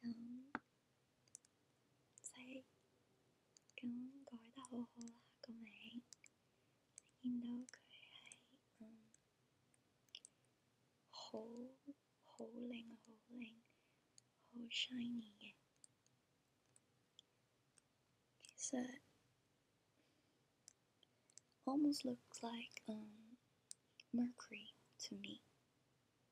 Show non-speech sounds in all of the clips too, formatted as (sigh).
咁唔使咁改得好好啦個名，見到佢係嗯好好靚好靚好 shiny 嘅，其實 almost looks like um mercury to me。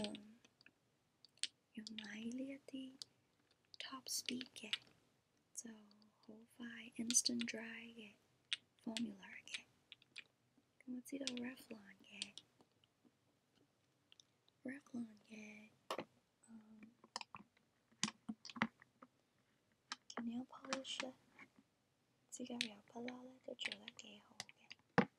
um, you 용라일리아디 top speed게 so 호파이 instant dry게 formula게 그럼 어찌도 레플론게 레플론게 um, nail polish 咧，指甲油筆啦咧都做得幾好嘅。Eh.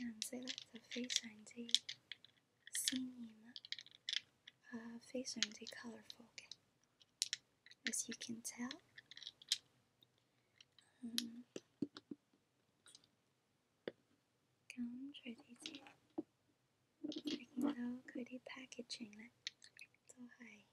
and say face face uh, 2000，色咧就非常之鮮豔啦，啊非常之 colourful as you can tell. Um, tell，嗯，咁除此之外，你見到佢啲 packaging 咧，都係〜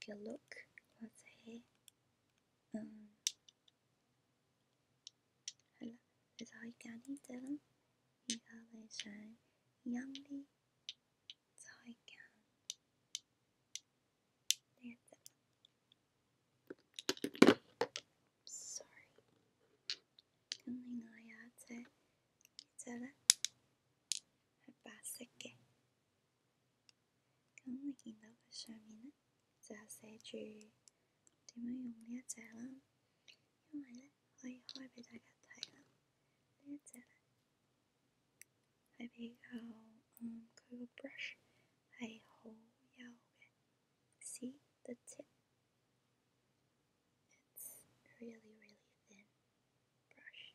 take a look what's here. Um, Hello, 그래서 이간이들은 이거를 잘 양리 저희가 되겠죠. Sorry. 근데 나야 제 이제는 해봤을게. 咁你見到佢上面呢，就寫住點樣用呢一隻啦，因為呢，可以開俾大家睇啦。呢一隻呢，係比較，嗯，佢個 brush 係好幼嘅，see the tip。Really, really thin brush.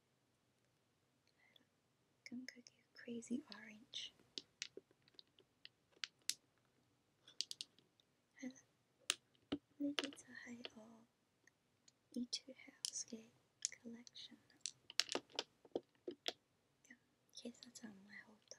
Come cook you crazy orange. Lipids high all E2 house gay collection. 其實就唔係好多。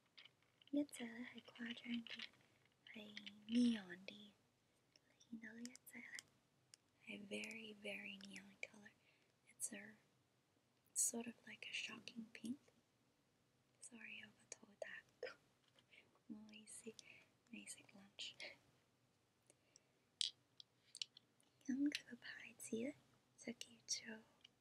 一隻咧係誇張嘅，係 neon 啲，見到呢一隻咧係 very very neon color。It's a sort of like a shocking pink. Sorry pink。Sorry，我個肚大個，唔好意思，未食 (laughs) lunch。咁佢個牌子咧就叫做〜(laughs)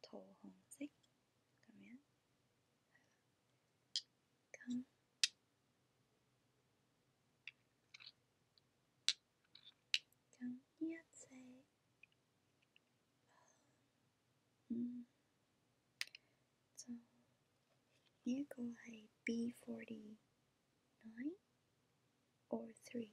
桃紅色咁樣，咁咁呢一隻，嗯，就呢一個係 B forty nine or three。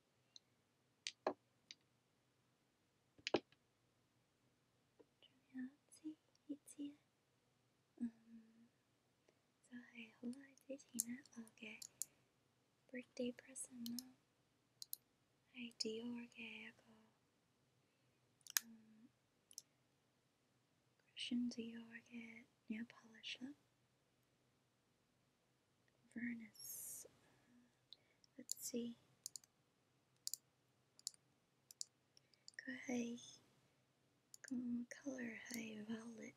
重要这一節，嗯，就係好耐之前呢，我嘅 birthday present 啦，係 Dior Christian Dior 嘅 nail polish Vernus. Let's see. Kuhai color hai violet.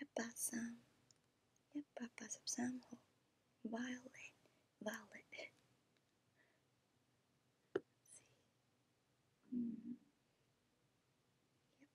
Yapa sam. Violet. Violet. Let's see. Hmm. Yep.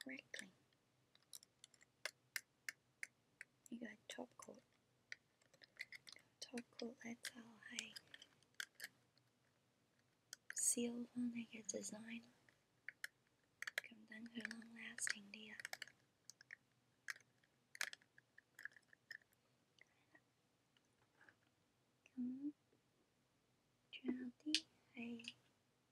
correctly. You got top coat. Top coat, that's how I seal when I get design. Come down for long lasting dia. Come, 这样的，哎。